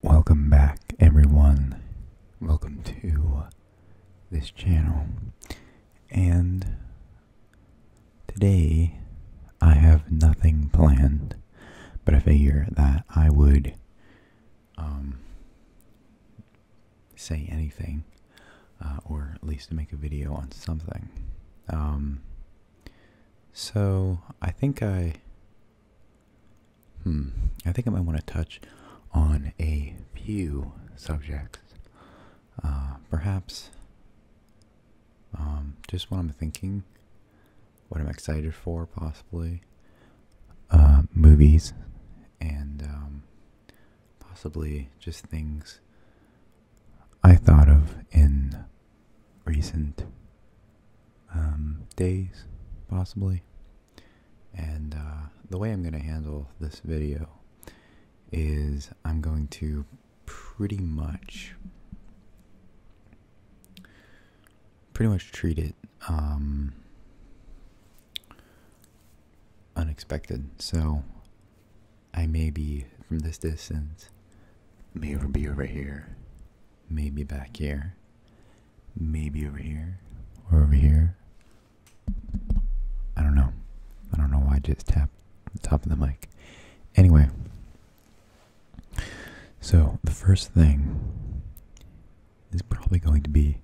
Welcome back, everyone. Welcome to this channel. And today I have nothing planned, but I figure that I would um, say anything, uh, or at least make a video on something. Um, so I think I Hmm. I think I might want to touch on a few subjects. Uh, perhaps um, just what I'm thinking, what I'm excited for, possibly uh, movies, and um, possibly just things I thought of in recent um, days, possibly. And uh, the way I'm going to handle this video is I'm going to pretty much pretty much treat it um, unexpected. So I may be from this distance, may be over here, Maybe back here. Maybe over here. Or over here. I don't know. I don't know why I just tapped the top of the mic. Anyway. So, the first thing is probably going to be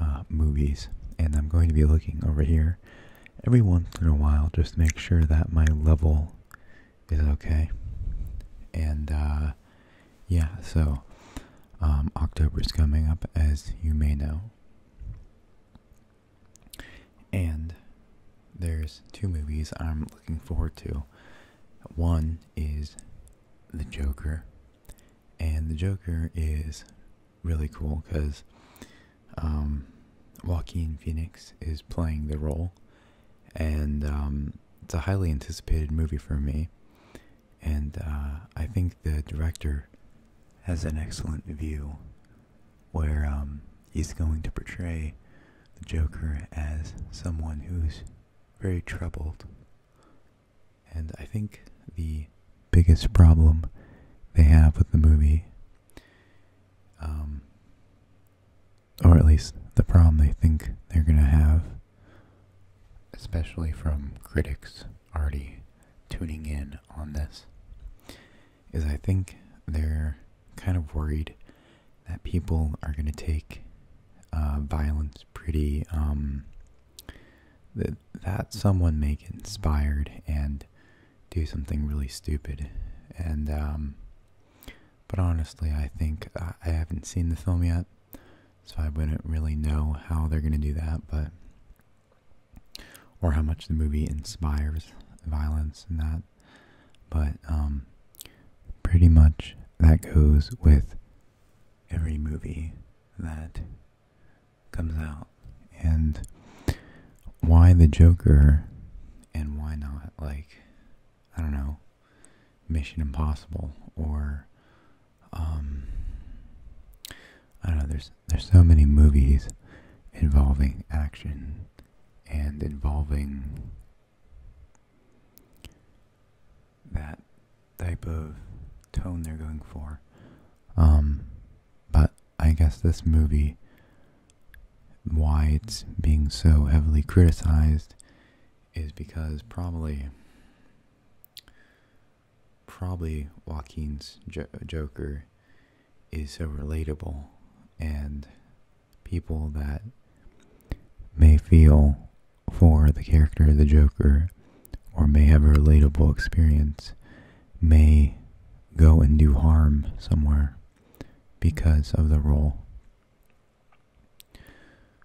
uh, movies. And I'm going to be looking over here every once in a while just to make sure that my level is okay. And uh, yeah, so um, October's coming up, as you may know. And there's two movies I'm looking forward to. One is The Joker, and The Joker is really cool because um, Joaquin Phoenix is playing the role, and um, it's a highly anticipated movie for me, and uh, I think the director has an excellent view where um, he's going to portray the Joker as someone who's very troubled. And I think the biggest problem they have with the movie um, or at least the problem they think they're going to have, especially from critics already tuning in on this, is I think they're kind of worried that people are going to take uh, violence pretty, um, that, that someone may get inspired and do something really stupid. And, um, but honestly, I think uh, I haven't seen the film yet, so I wouldn't really know how they're going to do that, but or how much the movie inspires violence and that. But um, pretty much that goes with every movie that comes out, and why the Joker and why not? Like, I don't know. Mission Impossible or um, I don't know. There's there's so many movies involving action and involving that type of tone they're going for. Um, but I guess this movie, why it's being so heavily criticized, is because probably probably Joaquin's Joker is so relatable and people that may feel for the character of the Joker or may have a relatable experience may go and do harm somewhere because of the role.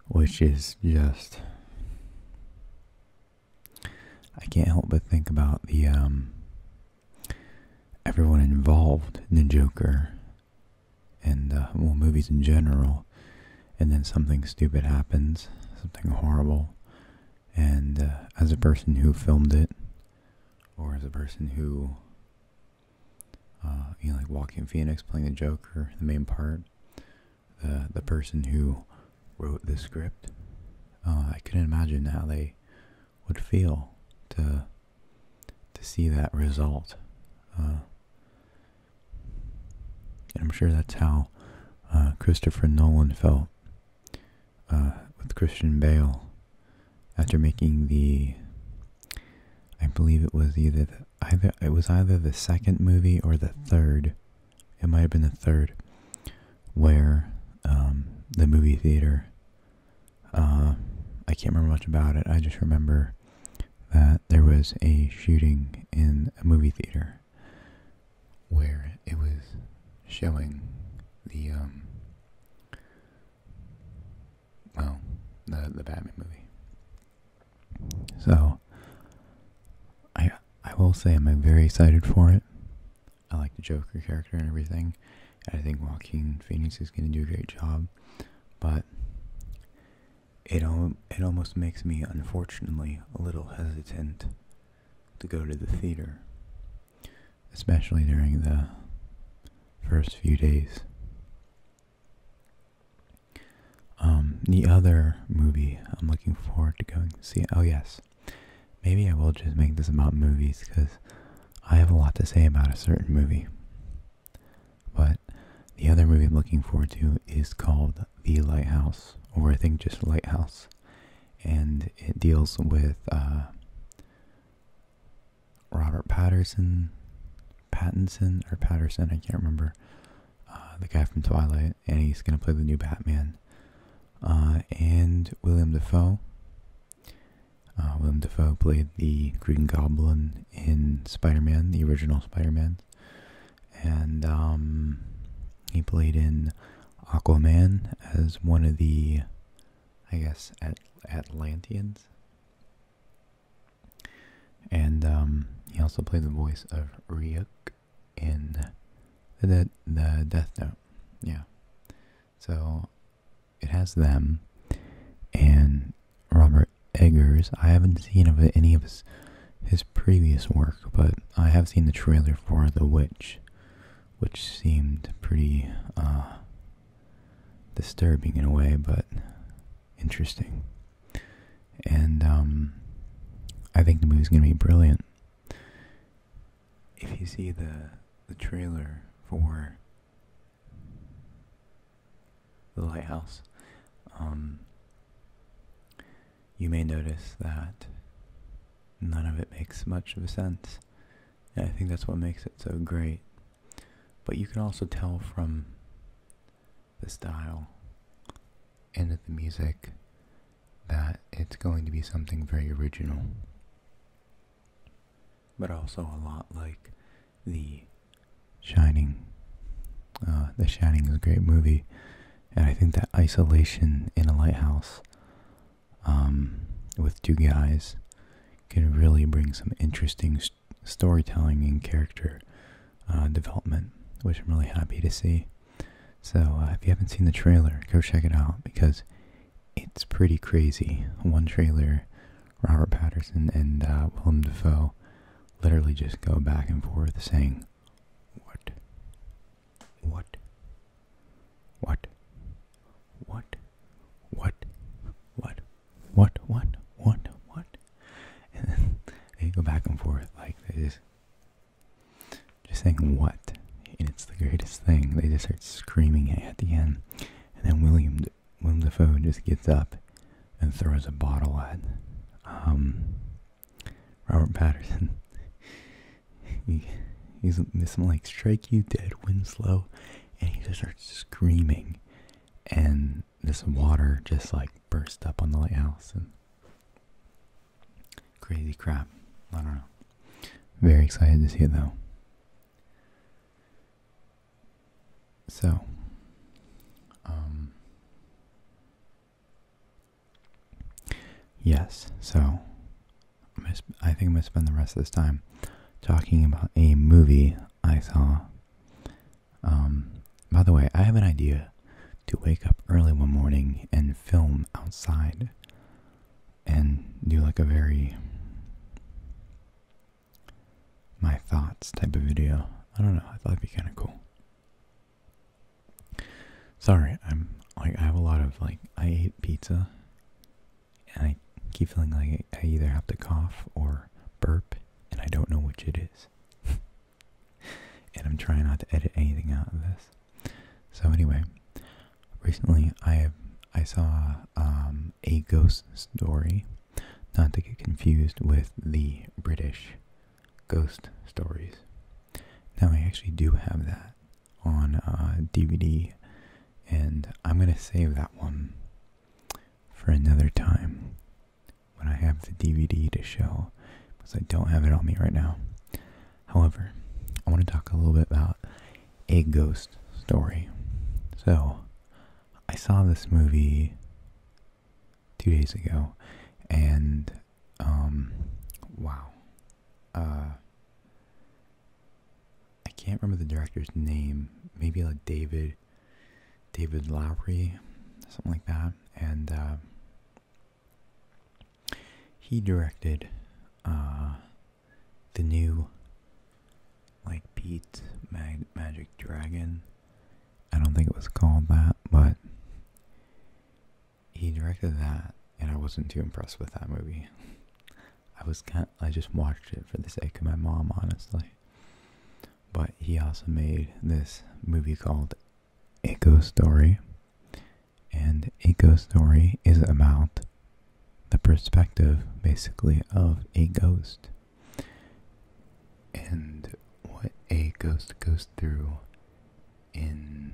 Which is just. I can't help but think about the. Um, everyone involved in the Joker and, uh, well, movies in general. And then something stupid happens, something horrible. And uh, as a person who filmed it, or as a person who uh, you know, like Walking Phoenix playing the Joker, the main part. The the person who wrote the script. Uh, I couldn't imagine how they would feel to to see that result. Uh, and I'm sure that's how Christopher Nolan felt with Christian Bale after making the, I believe it was either the either it was either the second movie or the third. It might have been the third, where um, the movie theater. Uh, I can't remember much about it. I just remember that there was a shooting in a movie theater where it was showing the um, well, the the Batman movie. So I I will say I'm very excited for it. I like the Joker character and everything. And I think Joaquin Phoenix is going to do a great job, but it al- it almost makes me unfortunately a little hesitant to go to the theater, especially during the first few days. Um, the other movie I'm looking forward to going to see. Oh, yes. Maybe I will just make this about movies because I have a lot to say about a certain movie. But the other movie I'm looking forward to is called The Lighthouse, or I think just Lighthouse. And it deals with uh, Robert Patterson, Pattinson or Patterson, I can't remember. Uh, the guy from Twilight, and he's gonna play the new Batman. Uh, and William Defoe. Uh, William Defoe played the Green Goblin in Spider-Man, the original Spider-Man, and um, he played in Aquaman as one of the, I guess, Atlanteans. And um, he also played the voice of Ryuk in the, the, Death Note. Yeah. So it has them and Robert Eggers. I haven't seen any of his previous work, but I have seen the trailer for The Witch, which seemed pretty uh, disturbing in a way, but interesting. And um, I think the movie's going to be brilliant. If you see the the trailer for the lighthouse, um, you may notice that none of it makes much of a sense. And I think that's what makes it so great but you can also tell from the style and the music that it's going to be something very original. But also a lot like the Shining. Uh, the Shining is a great movie, and I think that isolation in a lighthouse um, with two guys can really bring some interesting storytelling and character uh, development, which I'm really happy to see. So uh, if you haven't seen the trailer, go check it out because it's pretty crazy. One trailer, Robert Pattinson and uh, Willem Dafoe literally just go back and forth saying, "What? What? What? What? What? What?" what, what, what, what? And then they go back and forth like this, just, saying what, and it's the greatest thing. They just start screaming it at the end, and then William William Defoe just gets up and throws a bottle at um, Robert Patterson. he, he's this like strike you dead, Winslow, and he just starts screaming and this water just like burst up on the lighthouse and crazy crap. I don't know. Very excited to see it though. So, um, yes, so I think I'm going to spend the rest of this time talking about a movie I saw. Um, by the way, I have an idea to wake up early one morning and film outside and do like a very my thoughts type of video. I don't know, I thought it'd be kind of cool. Sorry, I'm like I have a lot of like I ate pizza and I keep feeling like I either have to cough or burp, and I don't know which it is. and I'm trying not to edit anything out of this. So anyway, recently I I saw um, a ghost story, not to get confused with the British ghost stories. Now I actually do have that on DVD, uh, and I'm gonna save that one for another time when I have the DVD to show because I don't have it on me right now. However, I want to talk a little bit about a ghost story. So, I saw this movie two days ago and um, wow. Uh, I can't remember the director's name. Maybe like David, David Lowry, something like that. And uh, he directed uh, the new like Pete Mag Magic Dragon. I don't think it was called that, but he directed that, and I wasn't too impressed with that movie. I was kind I just watched it for the sake of my mom, honestly. But he also made this movie called Echo Story. And Echo Story is about the perspective, basically, of a ghost. And what a ghost goes through in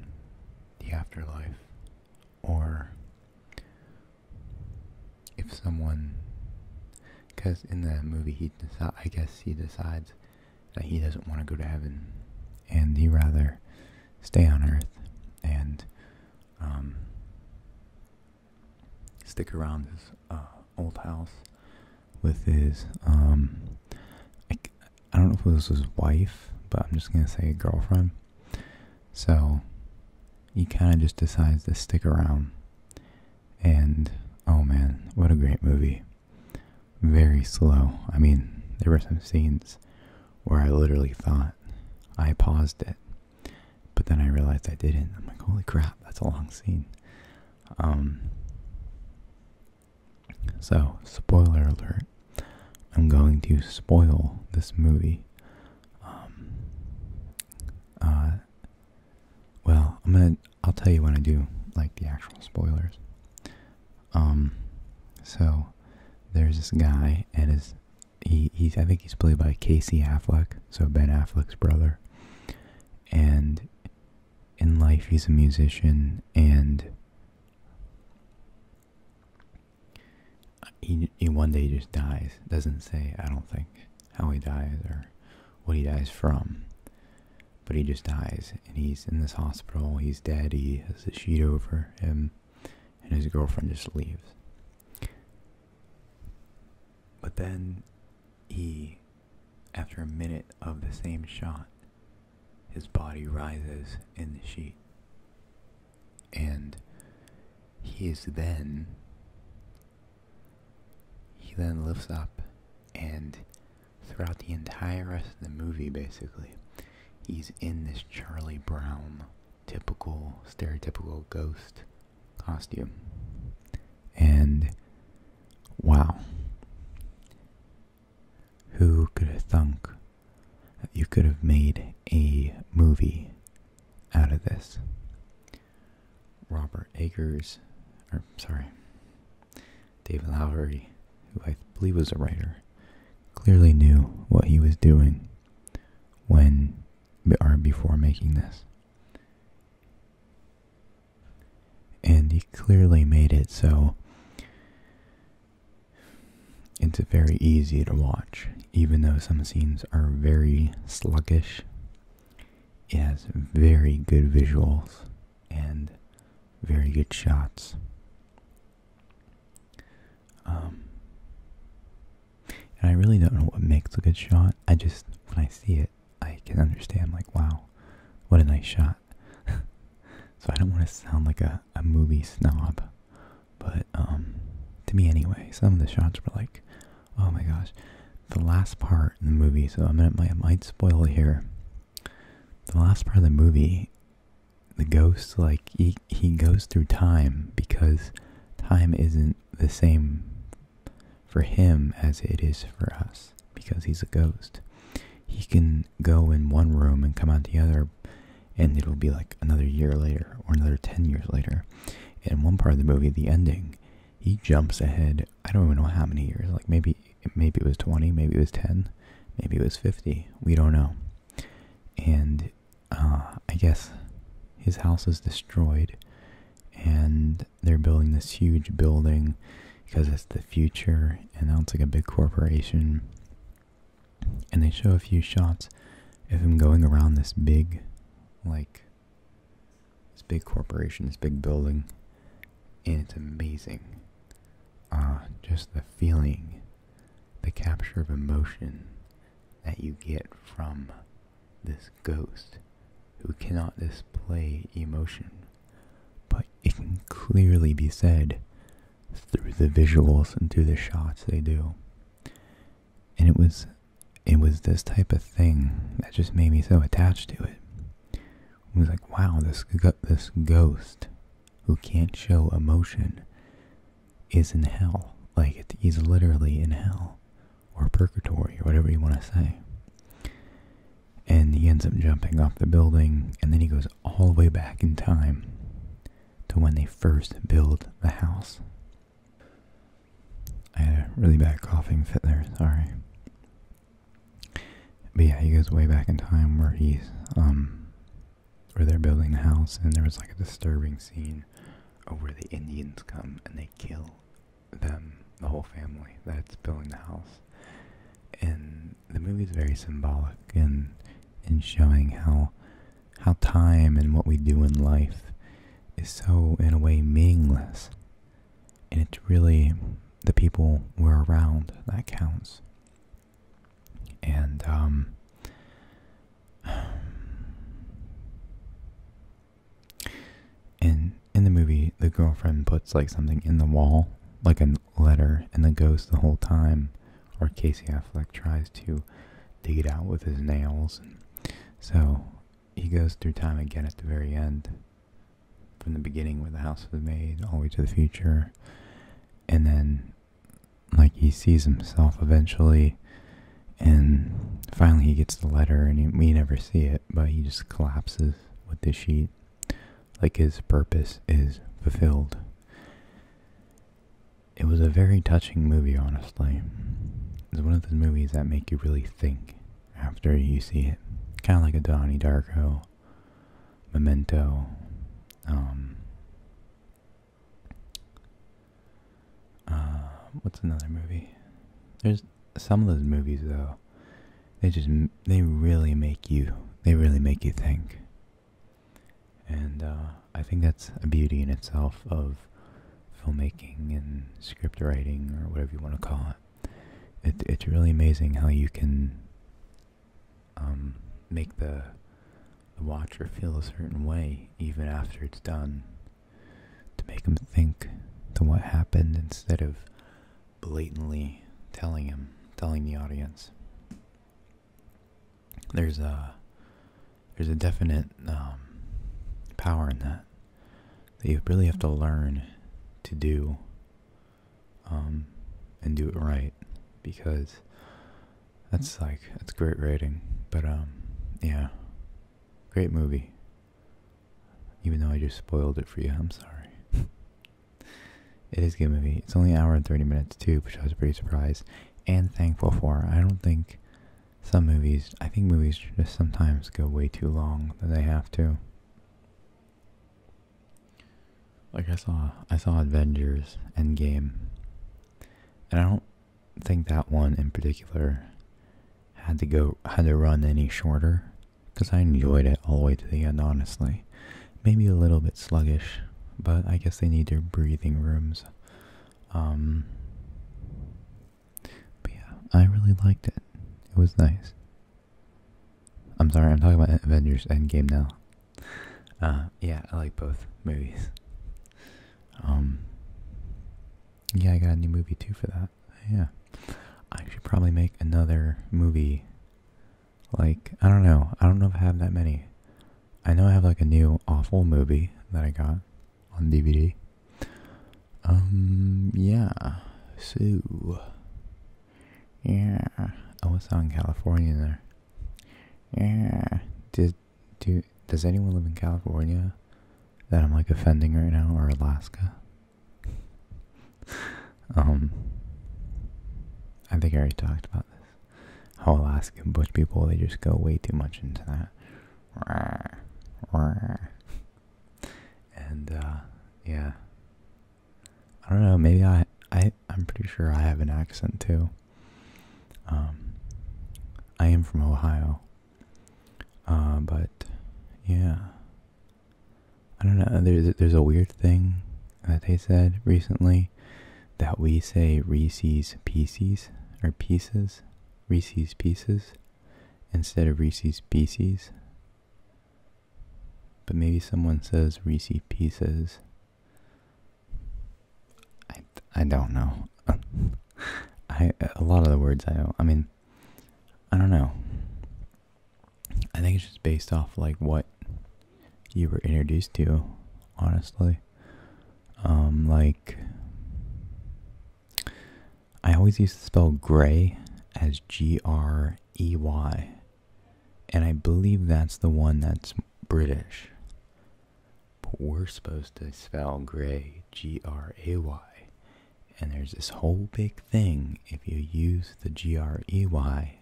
the afterlife, or if someone, because in the movie he decides, I guess he decides that he doesn't want to go to heaven, and he rather stay on earth and um, stick around his uh, old house with his um, I, don't know if this was his wife, but I'm just gonna say girlfriend. So he kind of just decides to stick around. And oh man, what a great movie. Very slow. I mean, there were some scenes where I literally thought I paused it, but then I realized I didn't. I'm like, holy crap, that's a long scene. Um, so, spoiler alert, I'm going to spoil this movie um, uh, well, I'm gonna. I'll tell you when I do like the actual spoilers. Um, so there's this guy, and his he he's I think he's played by Casey Affleck, so Ben Affleck's brother, and in life he's a musician and he, one day just dies. Doesn't say, I don't think, how he dies or what he dies from. But he just dies, and he's in this hospital. He's dead. He has a sheet over him, and his girlfriend just leaves. But then he, after a minute of the same shot, his body rises in the sheet and he is then he then lifts up and throughout the entire rest of the movie basically he's in this charlie brown typical stereotypical ghost costume and wow who could have thunk that you could have made a movie out of this. Robert Akers, or sorry, David Lowery, who I believe was a writer, clearly knew what he was doing when or before making this. And he clearly made it so it's very easy to watch even though some scenes are very sluggish, it has very good visuals and very good shots. Um, and I really don't know what makes a good shot. I just, when I see it, I can understand, like, wow, what a nice shot. so I don't want to sound like a movie snob but um, to me anyway, some of the shots were like, oh my gosh, the last part in the movie. So I might, I might spoil it here. The last part of the movie, the ghost like he he goes through time because time isn't the same for him as it is for us because he's a ghost. He can go in one room and come out the other, and it'll be like another year later or another 10 years later in one part of the movie, the ending, he jumps ahead. I don't even know how many years. Like maybe, maybe it was twenty, maybe it was ten, maybe it was fifty. We don't know. And uh, I guess his house is destroyed, and they're building this huge building because it's the future, and now it's like a big corporation. And they show a few shots of him going around this big, like, this big corporation, this big building, and it's amazing. Uh, just the feeling, the capture of emotion that you get from this ghost who cannot display emotion, but it can clearly be said through the visuals and through the shots they do. And it was it was this type of thing that just made me so attached to it. It was like, wow, this this ghost who can't show emotion is in hell. Like he's literally in hell or purgatory or whatever you want to say. And he ends up jumping off the building, and then he goes all the way back in time to when they first build the house. I had a really bad coughing fit there, sorry. But yeah, he goes way back in time where he's, um, where they're building the house and there was like a disturbing scene of where the Indians come and they kill them, the whole family that's building the house. And the movie is very symbolic in, in showing how how time and what we do in life is so, in a way, meaningless. And it's really the people we're around that counts. And, um, and in the movie, the girlfriend puts like something in the wall, like a letter, and the ghost the whole time, or Casey Affleck tries to dig it out with his nails. so he goes through time again at the very end, from the beginning where the house was made, all the way to the future. And then, like, he sees himself eventually, and finally he gets the letter, and we never see it, but he just collapses with the sheet. Like his purpose is fulfilled. It was a very touching movie, honestly. It's one of those movies that make you really think after you see it. Kind of like a Donnie Darko, Memento, um, uh, what's another movie? There's some of those movies though. They just they really make you they really make you think. And uh, I think that's a beauty in itself of filmmaking and script writing or whatever you want to call it. it's really amazing how you can um, make the watcher feel a certain way even after it's done. To make him think to what happened instead of blatantly telling him, telling the audience. There's a there's a definite um, power in that that you really have to learn to do um, and do it right because that's like that's great writing. But um, yeah, great movie. Even though I just spoiled it for you, I'm sorry. it is a good movie. It's only an hour and 30 minutes too, which I was pretty surprised and thankful for. I don't think some movies, I think movies just sometimes go way too long than they have to. Like I saw, I saw Avengers Endgame, and I don't think that one in particular had to go had to run any shorter because I enjoyed it all the way to the end. Honestly, maybe a little bit sluggish, but I guess they need their breathing rooms um, but yeah, I really liked it. It was nice. I'm sorry, I'm talking about Avengers Endgame now. Uh, yeah, I like both movies. Um, yeah, I got a new movie too for that. Yeah, I should probably make another movie. Like, I don't know. I don't know if I have that many. I know I have like a new awful movie that I got on DVD. Um, yeah. So, yeah. I was on California there. Yeah. Did, do, does anyone live in California that I'm like offending right now or Alaska? um, I think I already talked about this whole Alaskan bush people, they just go way too much into that. And uh, yeah, I don't know. Maybe I, I, I'm pretty sure I have an accent too. Um, I am from Ohio. Uh, but yeah, I don't know. There's there's a weird thing that they said recently that we say Reese's Pieces or Pieces, Reese's Pieces, instead of Reese's Pieces. But maybe someone says Reese Pieces. I, I don't know. I a lot of the words I don't, I mean, I don't know. I think it's just based off like what you were introduced to, honestly. Um, like, I always used to spell gray as G R E Y, and I believe that's the one that's British. But we're supposed to spell gray G R A Y, and there's this whole big thing if you use the G R E Y,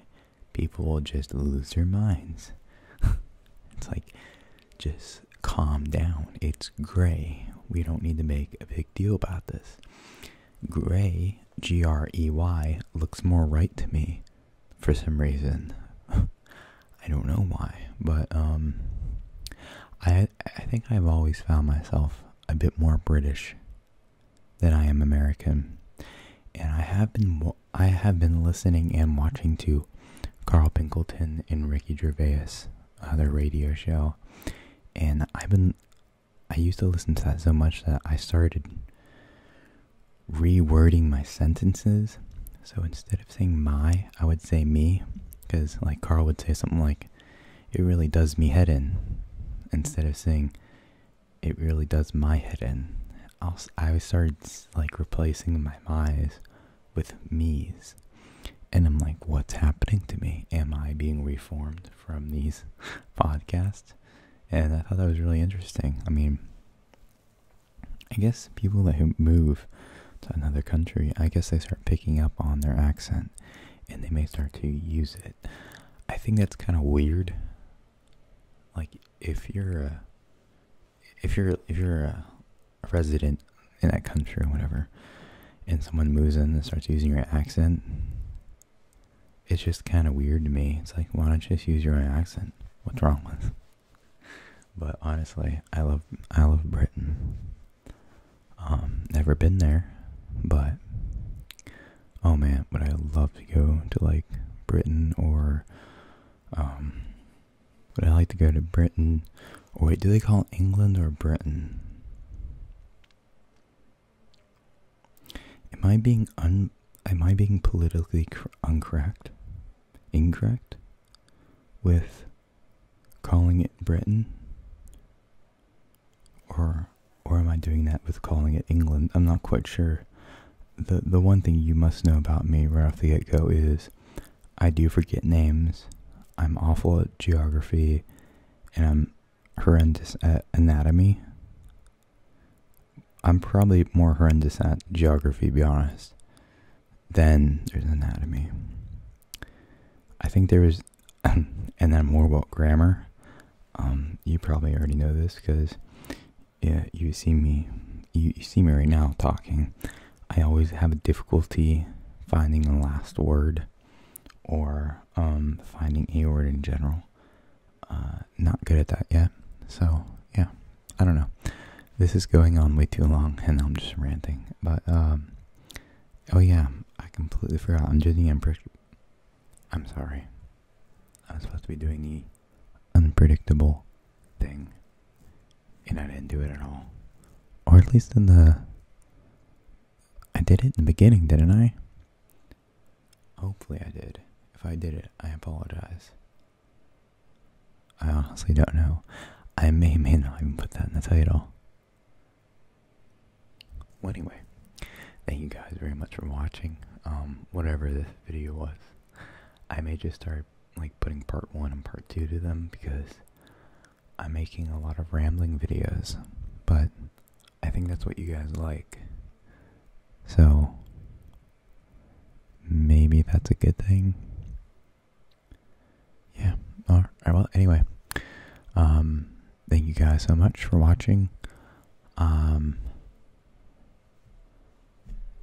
people will just lose their minds. it's like, just calm down. It's gray. We don't need to make a big deal about this. Gray, G R E Y, looks more right to me for some reason. I don't know why, but um I I think I've always found myself a bit more British than I am American. And I have been I have been listening and watching to Carl Pinkleton and Ricky Gervais, uh, their radio show, and I've been, I used to listen to that so much that I started rewording my sentences. So instead of saying my, I would say me, because like Carl would say something like, it really does me head in, instead of saying, it really does my head in. i I started like replacing my my's with me's. And I'm like, what's happening to me? Am I being reformed from these podcasts? And I thought that was really interesting. I mean, I guess people that move to another country, I guess they start picking up on their accent and they may start to use it. I think that's kind of weird. Like, if you're a if you're if you're a resident in that country or whatever, and someone moves in and starts using your accent, it's just kind of weird to me. It's like, why don't you just use your own accent? What's wrong with? But honestly, I love I love Britain. Um, never been there, but oh man, would I love to go to like Britain or um would I like to go to Britain? Or wait, do they call England or Britain? Am I being un? Am I being politically incorrect? Incorrect with calling it Britain, or or am I doing that with calling it England? I'm not quite sure the the one thing you must know about me right off the get go is I do forget names. I'm awful at geography, and I'm horrendous at anatomy. I'm probably more horrendous at geography, to be honest, than there's anatomy. I think there is, and then more about grammar. Um, you probably already know this because yeah, you see me, you, see me right now talking. I always have a difficulty finding the last word or um, finding a word in general. Uh, not good at that yet. So, yeah, I don't know. This is going on way too long and I'm just ranting. But, um, oh yeah, I completely forgot. I'm doing the impression. I'm sorry. i was supposed to be doing the unpredictable thing, and I didn't do it at all. Or at least in the. I did it in the beginning, didn't I? Hopefully I did. If I did it, I apologize. I honestly don't know. I may may not even put that in the title. Well, anyway, thank you guys very much for watching. Um, whatever this video was, I may just start like putting part one and part two to them because I'm making a lot of rambling videos, but I think that's what you guys like. So maybe that's a good thing. Yeah. All right. Well, anyway, um, thank you guys so much for watching. Um,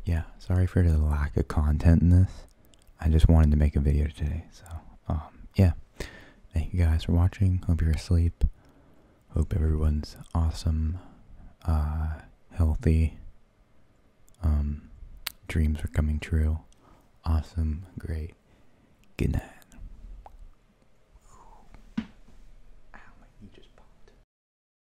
yeah, sorry for the lack of content in this. I just wanted to make a video today, so, um, yeah. Thank you guys for watching. Hope you're asleep. Hope everyone's awesome, uh, healthy, um, dreams are coming true. Awesome, great. Good night.